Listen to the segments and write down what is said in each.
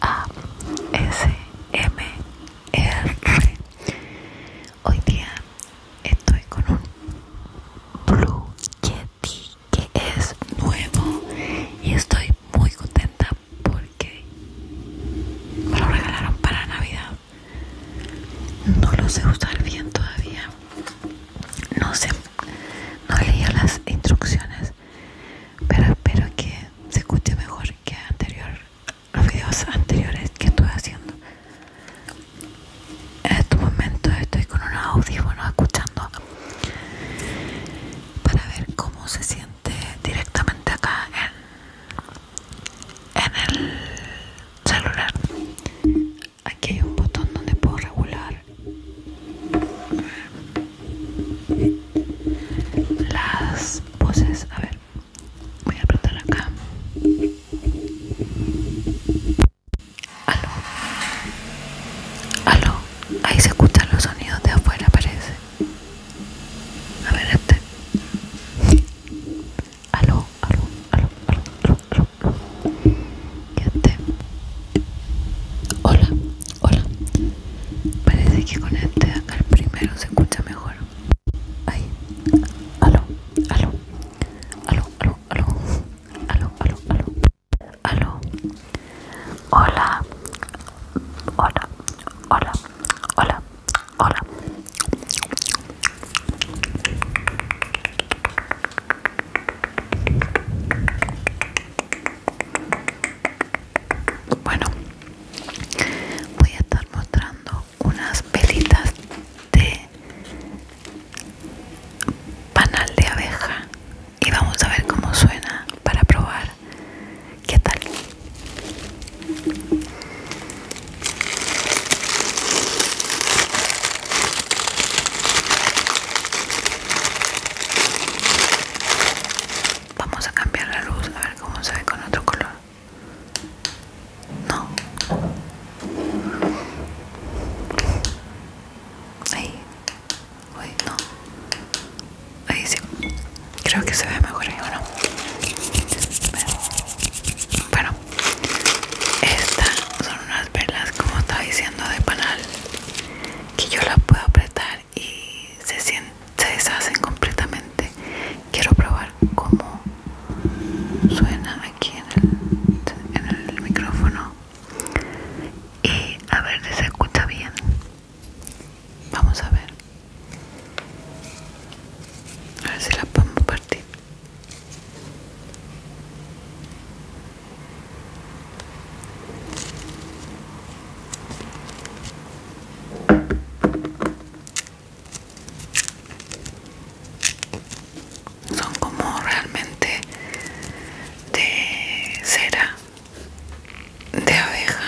A-S-M-R hoy día estoy con un Blue Yeti que es nuevo y estoy muy contenta porque me lo regalaron para Navidad no lo sé usar bien todavía no sé no leído las instrucciones pero espero que se escuche mejor que anterior los videos anteriores que estuve haciendo en este momento estoy con unos audífonos escuchando para ver cómo se siente directamente acá en, en el celular aquí hay un botón donde puedo regular las voces, A ver, voy a apretar acá. Aló, aló, ahí se escuchan los sonidos de afuera, parece. A ver, este. Aló, aló, aló, aló, aló, Hola, Hola. Parece que con este el primero se escucha mejor. Ahí. Aló, aló. Aló, aló, aló. Aló, aló, aló. Aló. Hola. Hola. Hola. Hola. Hola. Bueno, voy a estar mostrando unas velitas de panal de abeja y vamos a ver cómo suena para probar qué tal. Vamos a cambiar la luz a ver cómo se ve con otro color. No. Ahí. Uy, no. Ahí sí. Creo que se ve mejor ahí, bueno. bueno. Estas son unas perlas, como estaba diciendo, de panal que yo la puedo apretar y se, se deshacen completamente quiero probar cómo suena aquí en el, en el micrófono y a ver si se escucha bien vamos a ver a ver si la podemos partir son como realmente de cera de abeja.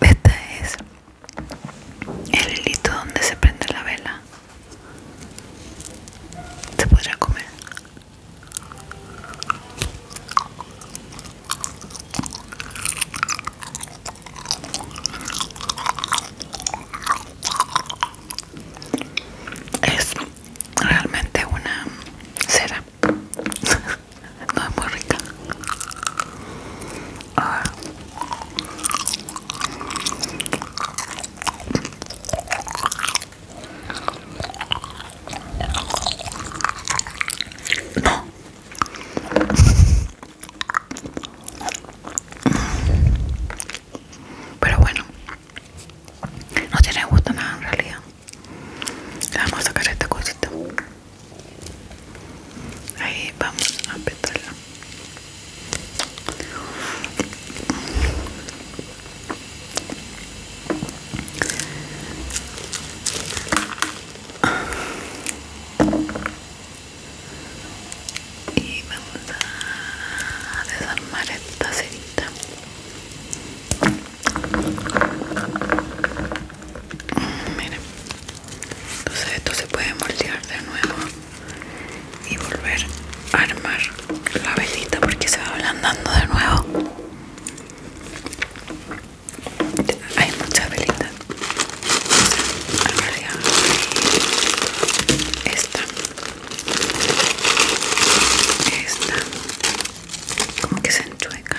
Esta es el hilito donde se prende la vela. ¿Te podrá comer. Es realmente una cera. no es muy rica. Ah. No. Pero bueno, no tiene gusto nada en realidad. vamos a sacar esta cosita. Ahí vamos a apretarla y vamos a desarmar esta cerita miren entonces esto se puede moldear de nuevo y volver a armar la velita porque se va ablandando de nuevo hay muchas velitas en realidad esta esta como que se enchueca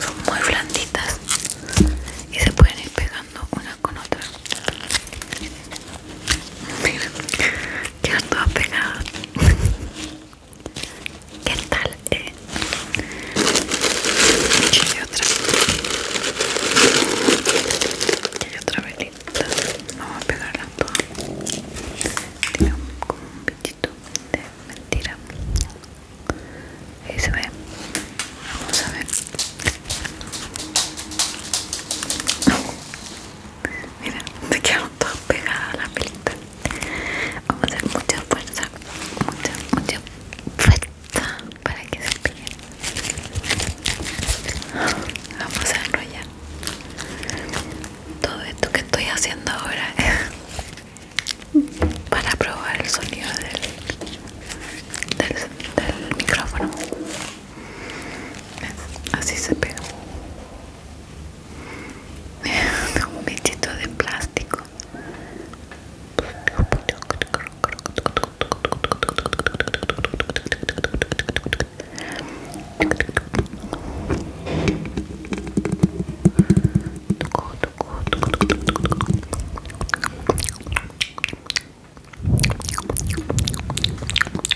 son muy blanditas y se pueden ir pegando una con otra. miren quedan todas pegadas. ¿Qué tal? Eh? Y otra. Y otra velita. Vamos a pegarla toda. Tiene como un bichito de mentira. Ahí se ve. Vamos a ver. Mira, me quedaron todas pegadas las velitas. Vamos a hacer mucha fuerza, mucha, mucha fuerza para que se pegue. Vamos a enrollar todo esto que estoy haciendo ahora para probar el sonido del, del micrófono. Así se pega un bichito de plástico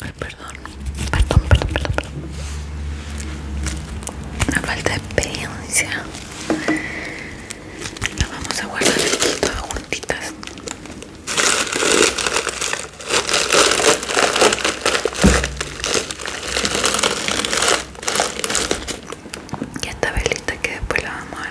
Ay, perdón. Perdón, perdón, perdón, perdón. Una falta de experiencia. la vamos a guardar aquí todas juntitas. Y esta velita que después la vamos a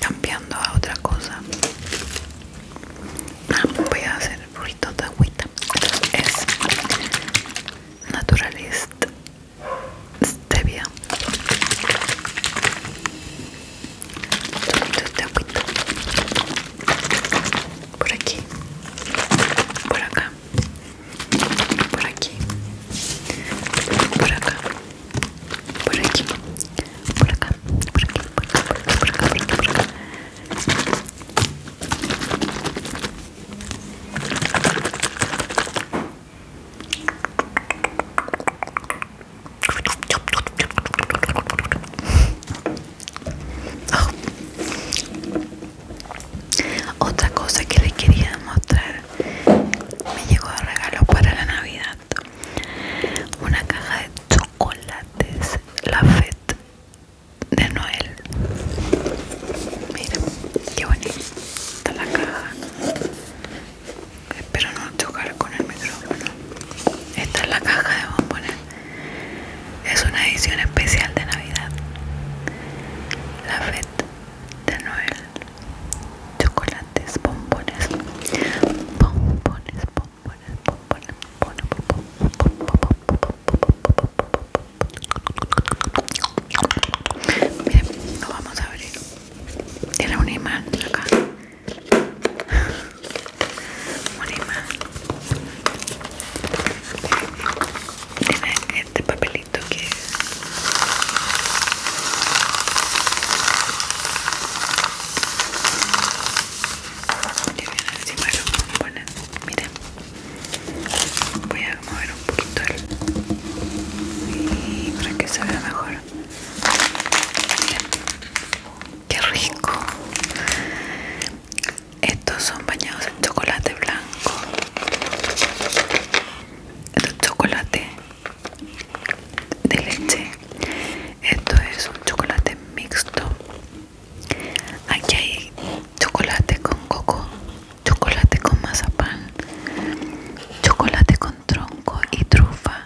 cambiando a otra cosa ah, voy a hacer ruido de agüita es naturalist stevia de agüita por aquí por acá por aquí por acá por aquí, por acá, por aquí, por acá, por acá, por acá, por acá, Otra cosa que le quería mostrar me llegó de regalo para la Navidad una caja de chocolates, la fête de Noel. miren qué bonita está la caja. Espero no chocar con el micrófono. Esta es la caja de bombones. Es una edición especial de Navidad. La fête de Noel chocolates, bombones, bombones, bombones, bombones, bombones, bombones. bombones bombones vamos a abrir. Tiene un imán acá. Un imán. Tiene este papelito. Esto que es. encima lo Miren, voy a mover un poquito el. Y para que se vea mejor. Miren, qué rico. Estos son bañados en chocolate blanco el chocolate de leche esto es un chocolate mixto aquí hay chocolate con coco chocolate con mazapán chocolate con tronco y trufa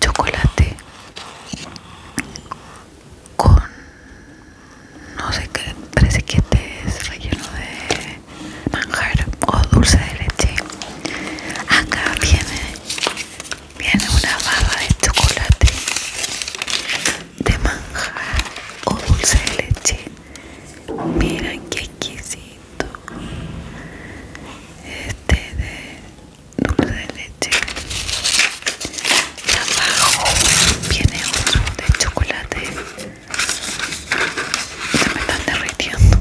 chocolate con no sé qué parece que este es relleno de manjar o dulce de leche acá viene viene una barra de chocolate de manjar o dulce de leche mira qué exquisito este de dulce de leche y abajo viene otro de chocolate se me están derritiendo.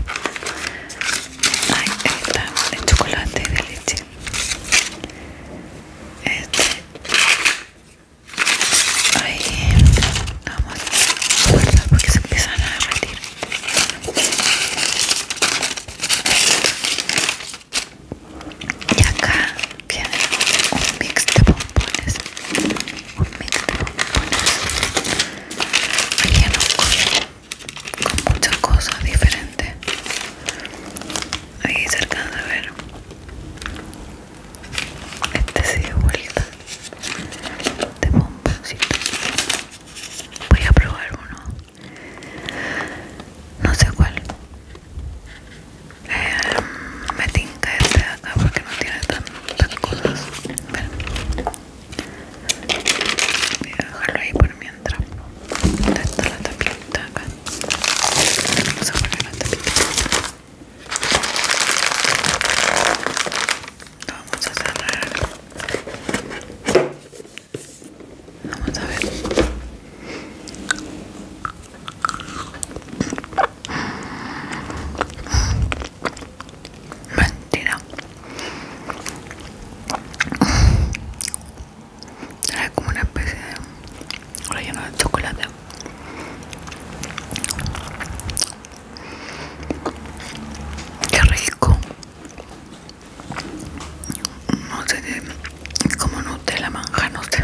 ahí está el chocolate y de leche. Este. Ahí. Vamos a guardar porque se empiezan a derretir. Y acá viene un mix de bombones un mix de bombones relleno con, con muchas cosas diferentes ahí se alcanza a ver este se dio vuelta de bomboncitos voy a probar uno no sé cuál Em, me tinta este de acá porque no tiene tantas cosas. a ver Voy a dejarlo ahí por mientras. está la tapita Vamos a poner la tapita. Lo vamos a cerrar. Vamos a ver. Mentira. es como una especie de relleno de chocolate. Qué rico. No sé, como Nutella manja, no sé.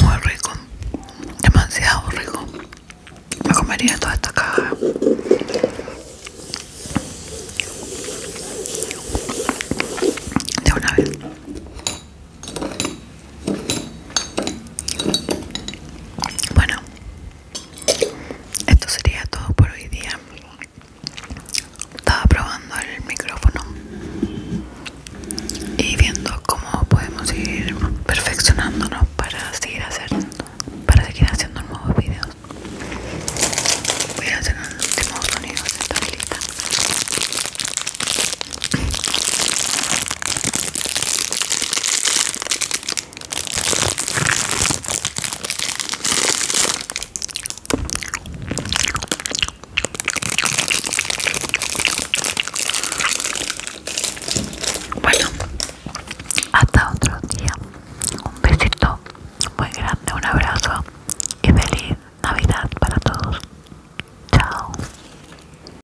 Muy rico, demasiado rico. Me comería toda esta caja. De una vez. Bueno, esto sería todo por hoy día. Estaba probando el micrófono y viendo cómo podemos ir perfeccionándonos para seguir haciendo, para seguir haciendo nuevos videos. Voy a hacer un último sonido de esta bueno, hasta otro día. Un besito muy grande, un abrazo y feliz Navidad para todos. Chao.